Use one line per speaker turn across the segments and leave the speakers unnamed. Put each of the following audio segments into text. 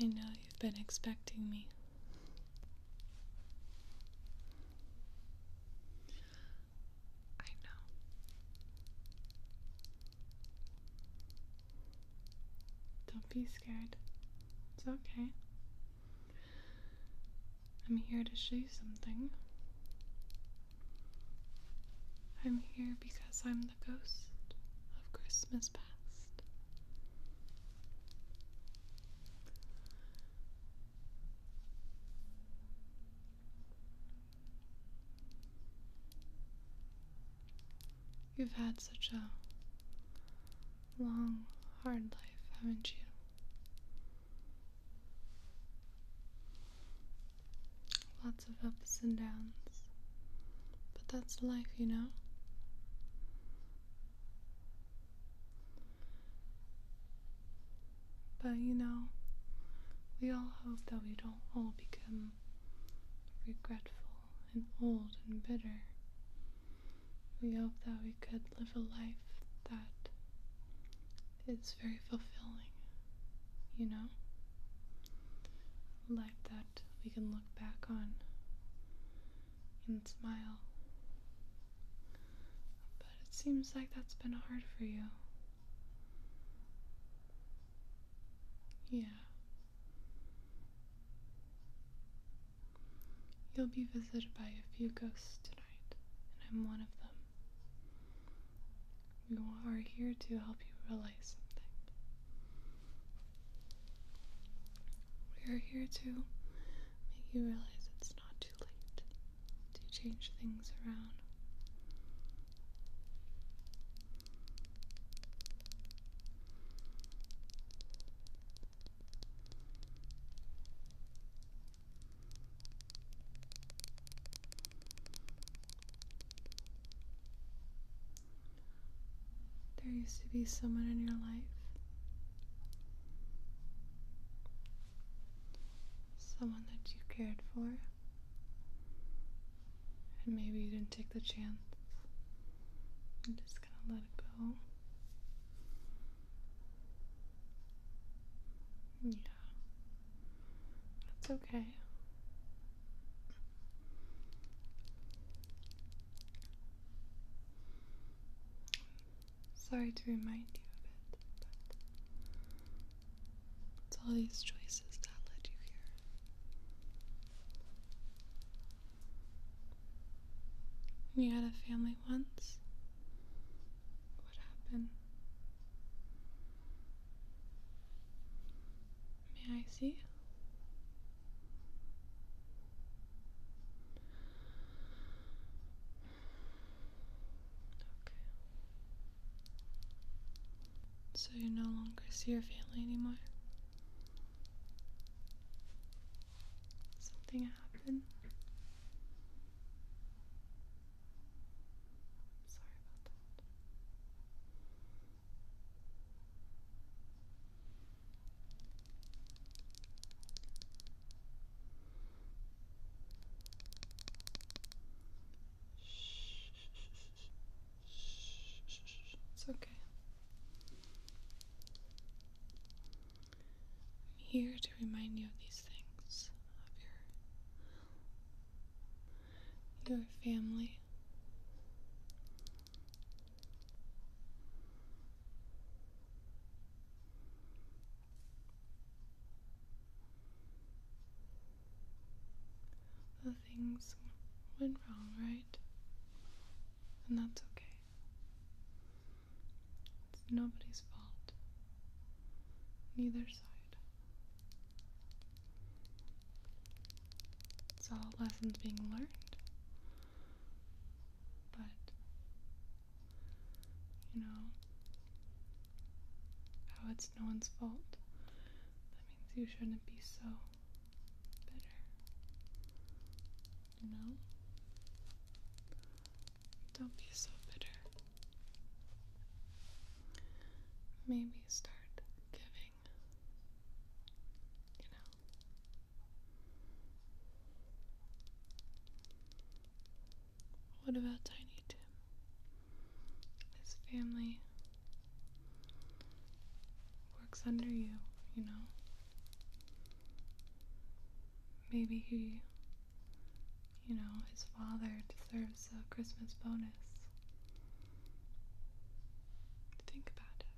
I know you've been expecting me. I know. Don't be scared. It's okay. I'm here to show you something. I'm here because I'm the ghost of Christmas past. You've had such a long, hard life, haven't you? of ups and downs. But that's life, you know? But you know, we all hope that we don't all become regretful and old and bitter. We hope that we could live a life that is very fulfilling, you know? like that we can look back on and smile. But it seems like that's been hard for you. Yeah. You'll be visited by a few ghosts tonight, and I'm one of them. We are here to help you realize something. We are here to make you realize it's not too late to change things around. There used to be someone in your life. Someone that you cared for. And maybe you didn't take the chance. I'm just gonna let it go. Yeah. That's okay. Sorry to remind you of it, but it's all these choices that led you here. you had a family once, what happened? May I see? Okay. So you no longer see your family anymore? Something happened? sorry about that. It's okay. I'm here to remind you of these things, your family. The things went wrong, right? And that's okay. It's nobody's fault. Neither side. It's all lessons being learned. But, you know, how it's no one's fault. That means you shouldn't be so bitter. You know? Don't be so bitter. Maybe start giving you know? What about Tiny Tim? His family works under you, you know? Maybe he, you know, his father deserves a Christmas bonus. Think about it.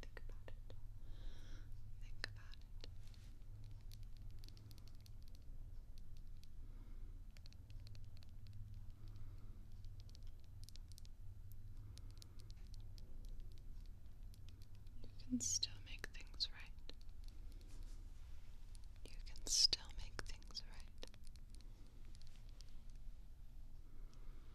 Think about it. Think about it. You can still make things right. You can still make things right.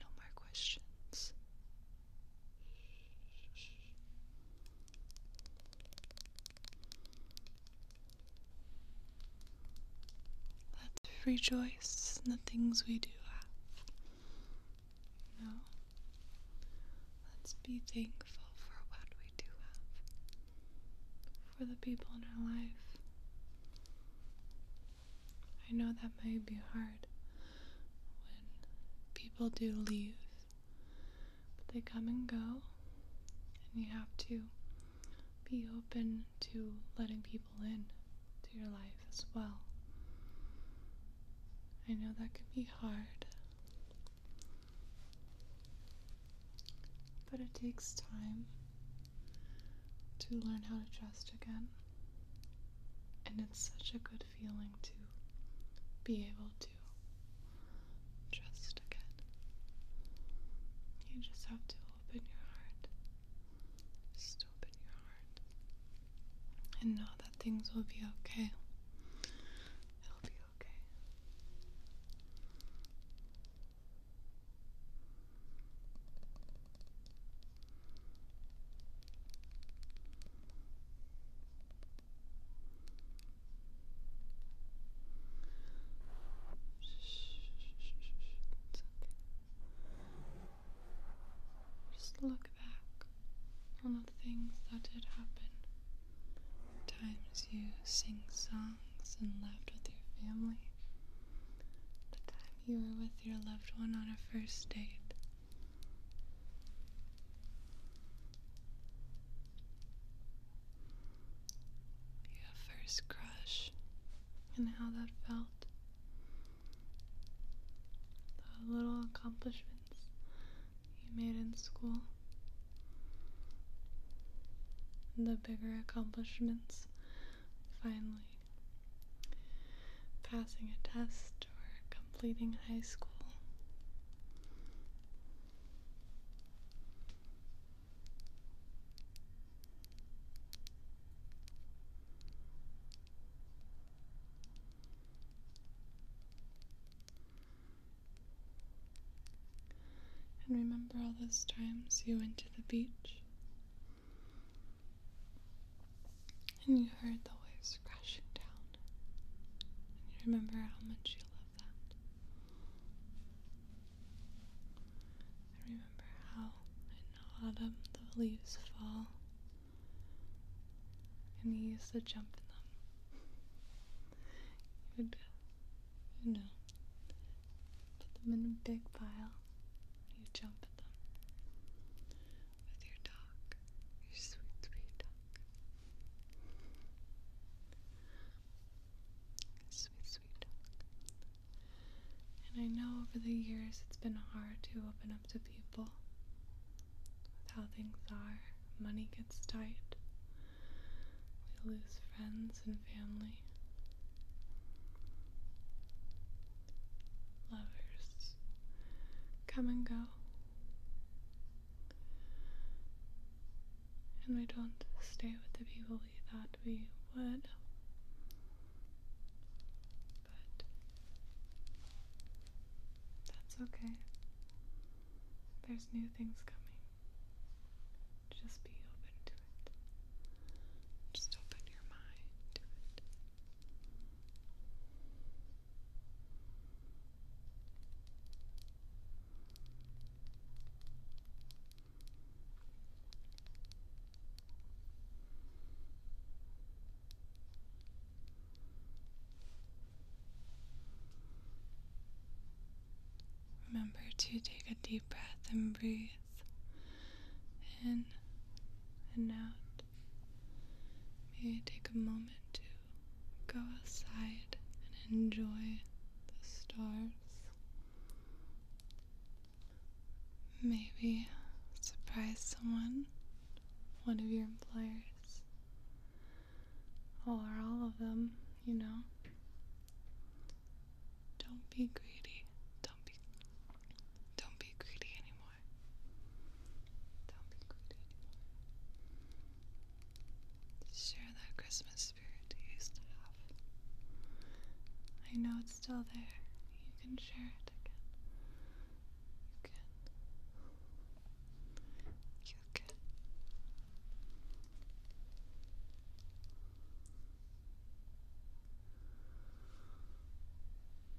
No more questions. Let's rejoice in the things we do have. You Let's be thankful for what we do have. For the people in our life. I know that may be hard when people do leave, but they come and go, and you have to be open to letting people in to your life as well. I know that can be hard, but it takes time to learn how to trust again. And it's such a good feeling to be able to trust again. You just have to open your heart. Just open your heart. And know that things will be okay. It'll be okay. Just look back on the things that did happen. Times you sing songs and laughed with your family you were with your loved one on a first date. Your first crush and how that felt. The little accomplishments you made in school. The bigger accomplishments finally passing a test or completing high school. And remember all those times you went to the beach and you heard the waves crashing down. And you remember how much you love that. I remember how in autumn the leaves fall. And you used to jump in them. You would, you know, put them in a big pile. You jump with your dog, your sweet, sweet dog. Sweet, sweet dog. And I know over the years it's been hard to open up to people with how things are. Money gets tight, we lose friends and family lovers come and go. And we don't stay with the people we thought we would. But that's okay. There's new things coming. Just be open to it. Just open your mind to it. Remember to take a deep breath and breathe with. and out. May take a moment to go outside and enjoy the stars. Maybe surprise someone, one of your employers, or all of them, you know. Don't be greedy. Don't be don't be greedy anymore. Don't be greedy anymore. Share that Christmas spirit you used to have. I know it's still there. You can share it again. You can. You can.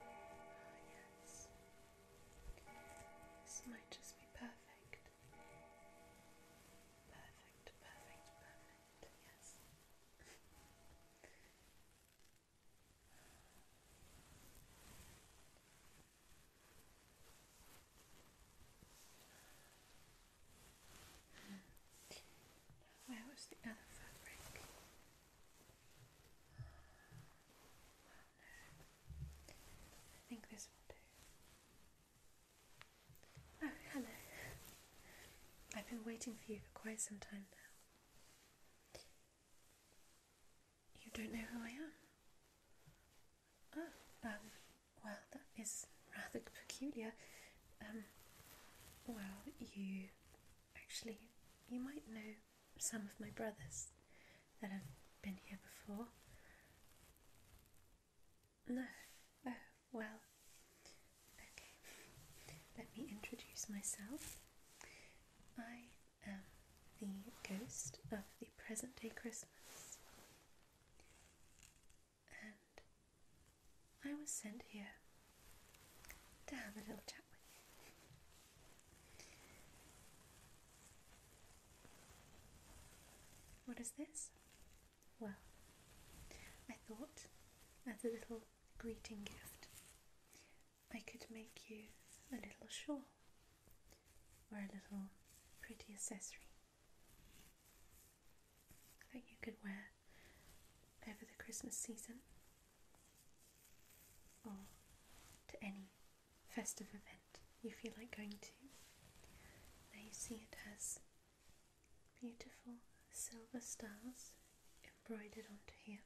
Ah, yes. This might just be perfect. Perfect, perfect, perfect, yes. Where was the other fabric? I think this will do. Oh, hello. I've been waiting for you for quite some time now. You don't know who I am? Ah, um, well, that is rather peculiar. Um, well, you actually, you might know some of my brothers that have been here before. No, oh, well, okay. Let me introduce myself. I am the ghost of the present day Christmas. And I was sent here to have a little chat with you. What is this? Well, I thought as a little greeting gift, I could make you a little shawl or a little pretty accessory that you could wear over the Christmas season or to any festive event you feel like going to. Now you see it has beautiful silver stars embroidered onto here,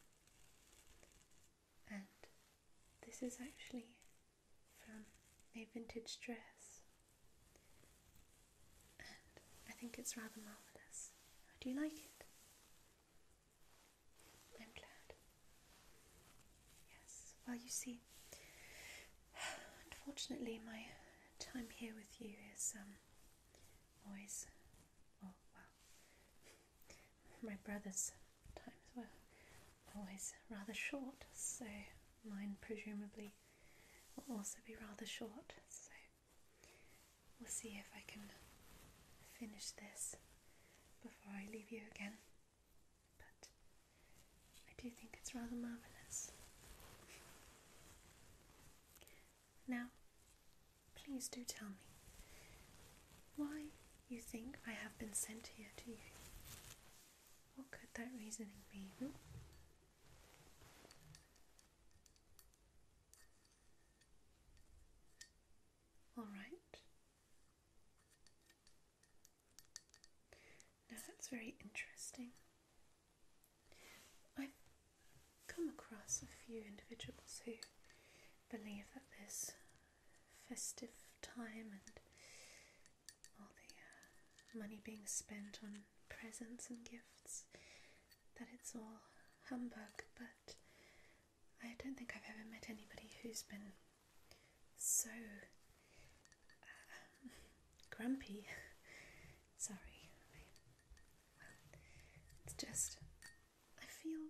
and this is actually from a vintage dress, and I think it's rather marvellous. How do you like it? I'm glad. Yes, well, you see, unfortunately, my time here with you is um, always, oh, well, my brother's times were always rather short, so mine presumably will also be rather short, so we'll see if I can finish this before I leave you again. But I do think it's rather marvellous. Now, please do tell me why you think I have been sent here to you. What could that reasoning be? Hmm? All right. Now that's very interesting. I've come across a few individuals who believe that this festive time and all the uh, money being spent on presents and gifts, that it's all humbug, but I don't think I've ever met anybody who's been so uh, grumpy. Sorry. well, it's just, I feel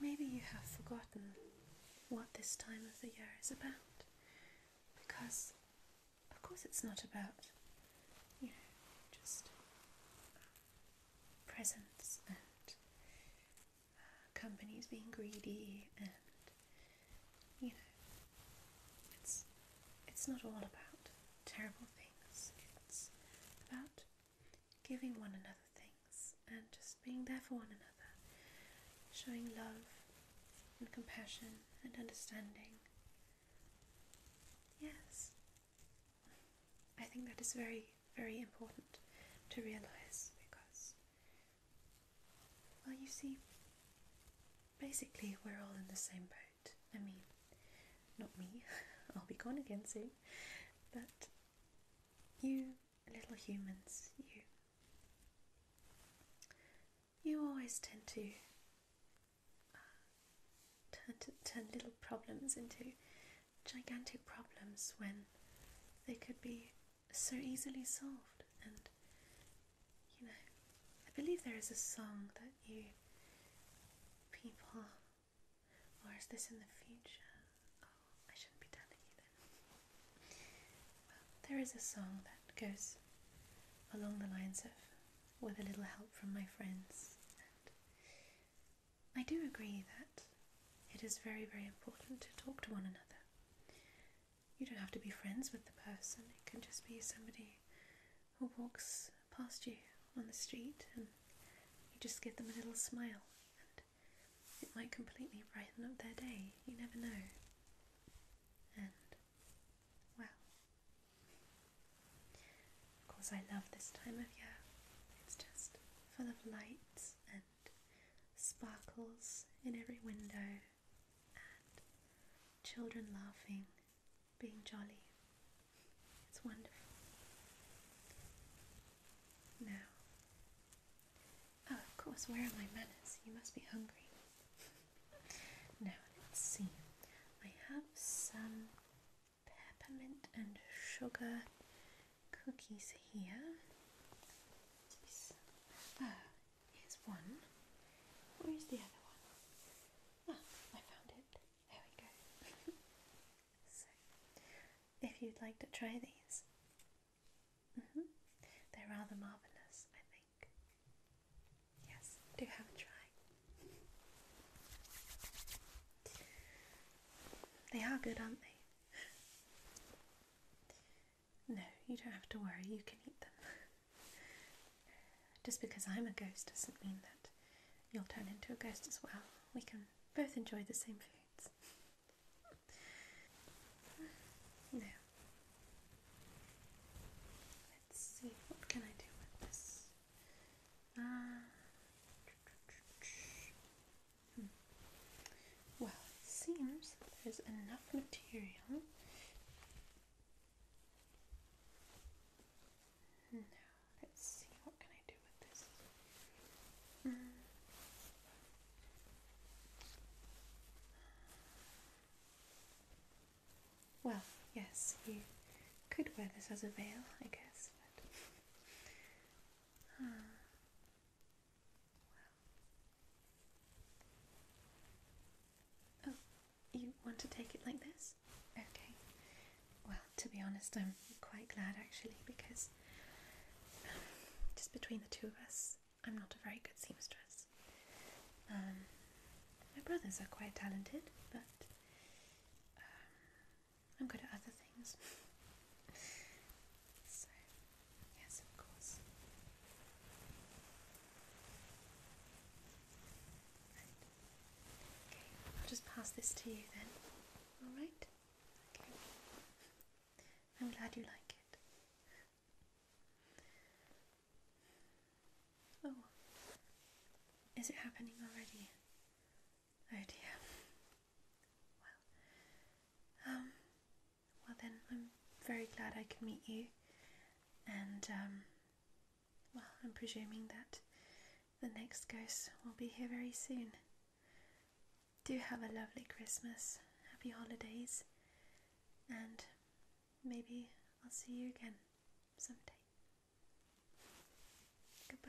maybe you have forgotten what this time of the year is about because of course it's not about you know just presents and uh, companies being greedy and you know it's it's not all about terrible things it's about giving one another things and just being there for one another showing love and compassion and understanding. Yes, I think that is very, very important to realize because, well, you see, basically we're all in the same boat. I mean, not me, I'll be gone again soon, but you little humans, you you always tend to uh, turn, to, turn little problems into gigantic problems when they could be so easily solved. And you know, I believe there is a song that you people, or is this in the future? Oh, I shouldn't be telling you then there is a song that goes along the lines of with a little help from my friends, and I do agree that it is very, very important to talk to one another. You don't have to be friends with the person, it can just be somebody who walks past you on the street and you just give them a little smile, and it might completely brighten up their day. You never know. And, well, of course, I love this time of year. It's just full of lights and sparkles in every window, and children laughing, being jolly. It's wonderful. Now, Oh, of course, where are my manners? You must be hungry. now, let's see. I have some peppermint and sugar cookies here. Ah, here's one. Where is the other one? Ah, I found it. There we go. so, if you'd like to try these, Mm -hmm. They're rather marvellous, I think. Yes, do have a try. They are good, aren't they? No, you don't have to worry, you can eat them. Just because I'm a ghost doesn't mean that you'll turn into a ghost as well. We can both enjoy the same foods. no, Let's see, what can I do with this? Ah. Well, it seems there's enough material. Now, let's see, what can I do with this? Hmm. Well, yes, you could wear this as a veil, I guess, but. Ah. Oh, you want to take it like this? Okay. Well, to be honest, I'm quite glad actually because um, just between the two of us, I'm not a very good seamstress. Um, my brothers are quite talented, but um, I'm good at other things. so, yes, of course. Okay, I'll just pass this to you then. Alright? I'm glad you like it. Oh, is it happening already? Oh dear. Well, um, well then, I'm very glad I could meet you, and um, well, I'm presuming that the next ghost will be here very soon. Do have a lovely Christmas, happy holidays, and Maybe I'll see you again someday. Goodbye.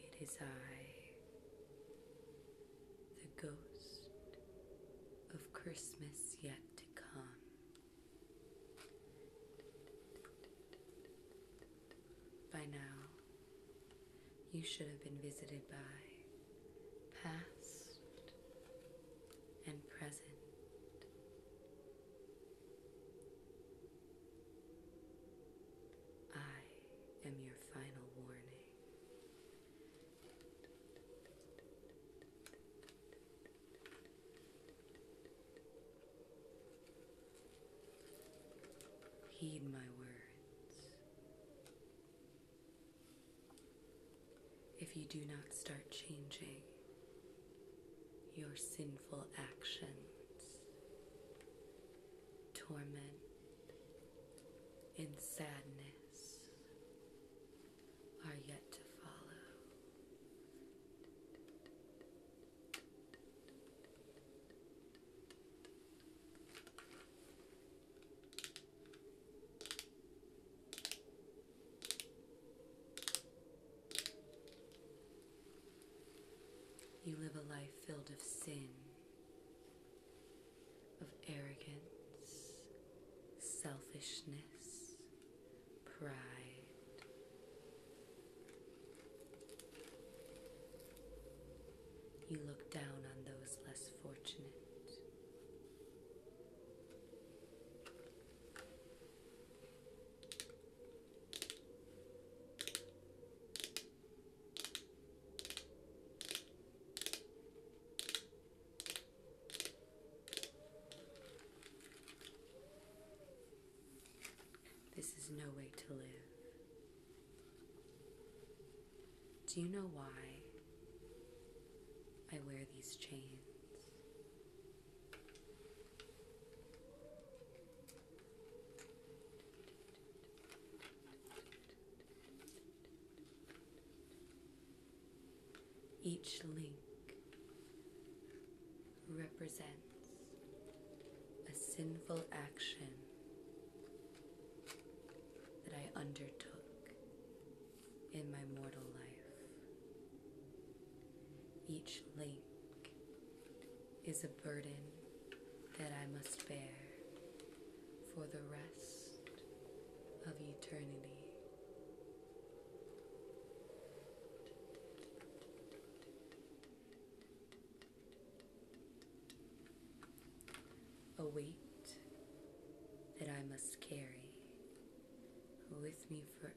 It is I, the ghost of Christmas yet to come. By now, you should have been visited by past and present. I am your final warning. Heed my words. If you do not start changing your sinful actions, torment and sadness are yet to follow. You live a life filled of sin, of arrogance, selfishness, pride. You look down on those less fortunate. This is no way to live. Do you know why I wear these chains? Each link represents a sinful action that I undertook in my mortal life. Each link is a burden that I must bear for the rest of eternity. A weight that I must carry with me forever.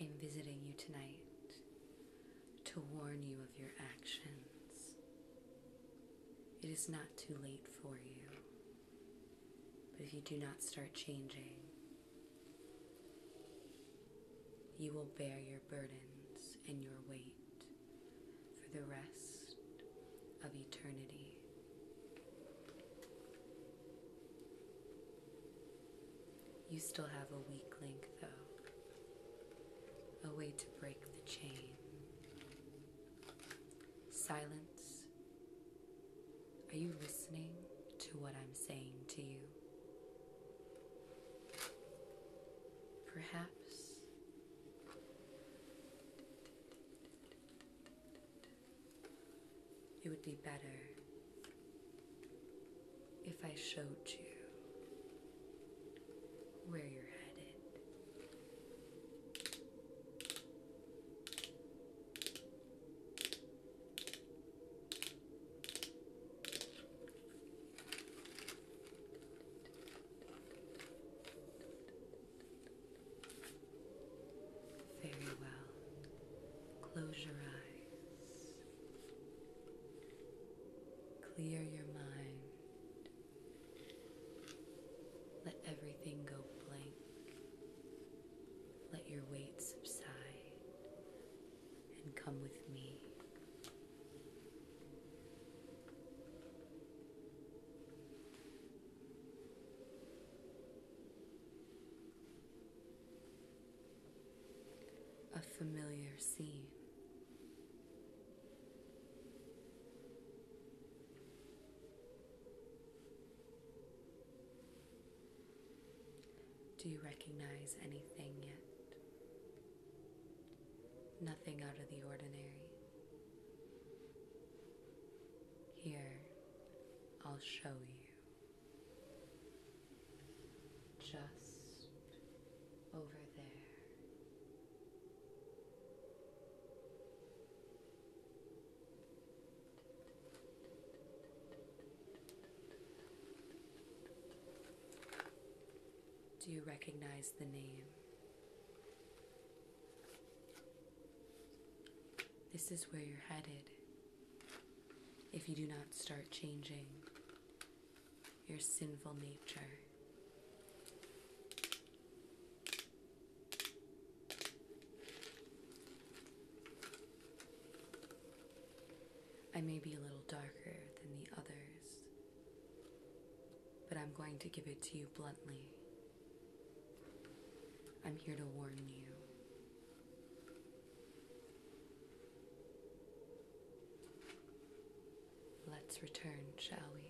I'm visiting you tonight to warn you of your actions. It is not too late for you, but if you do not start changing, you will bear your burdens and your weight for the rest of eternity. You still have a weak link, though, a way to break the chain. Silence. Are you listening to what I'm saying to you? Perhaps it would be better if I showed you where you're headed. Very well. Close your eyes. Clear your mind. Let everything go blank. Let your weight subside and come with me. A familiar scene. Do you recognize anything yet? Nothing out of the ordinary. Here, I'll show you. Just over there. Do you recognize the name? This is where you're headed if you do not start changing your sinful nature. I may be a little darker than the others, but I'm going to give it to you bluntly. I'm here to warn you. Let's return, shall we?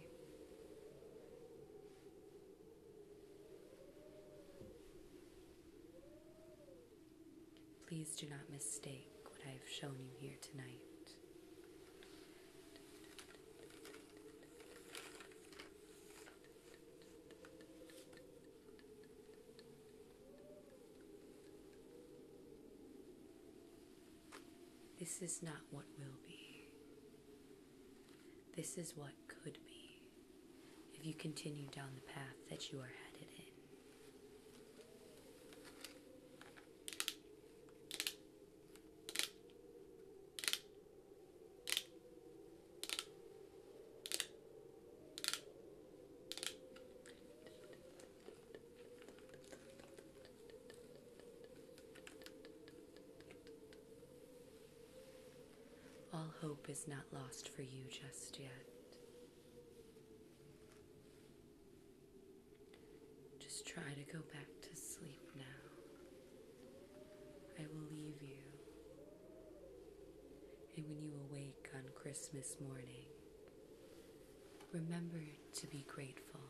Please do not mistake what I have shown you here tonight. This is not what will be. This is what could be if you continue down the path that you are headed in. All hope is not lost for you just yet. Just try to go back to sleep now. I will leave you. And when you awake on Christmas morning, remember to be grateful.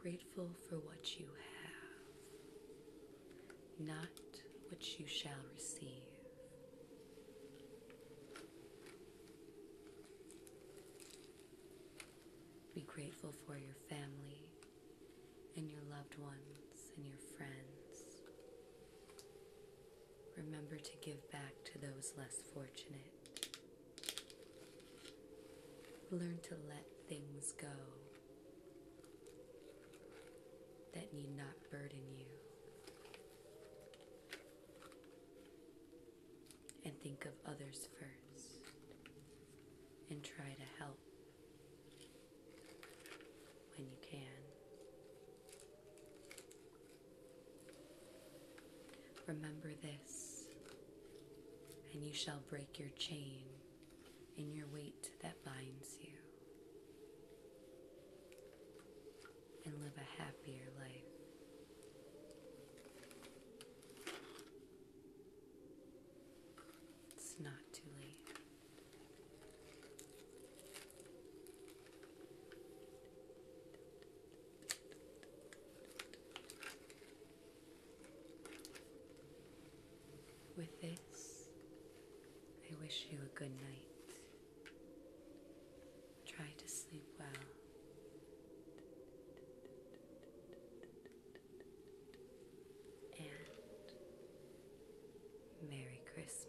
Grateful for what you have, not what you shall receive. Be grateful for your family and your loved ones and your friends. Remember to give back to those less fortunate. Learn to let things go that need not burden you and think of others first and try to help when you can. Remember this, and you shall break your chain and your weight that binds you and live a happier life. It's not too late. With this, I wish you a good night. Try to sleep well. And Merry Christmas.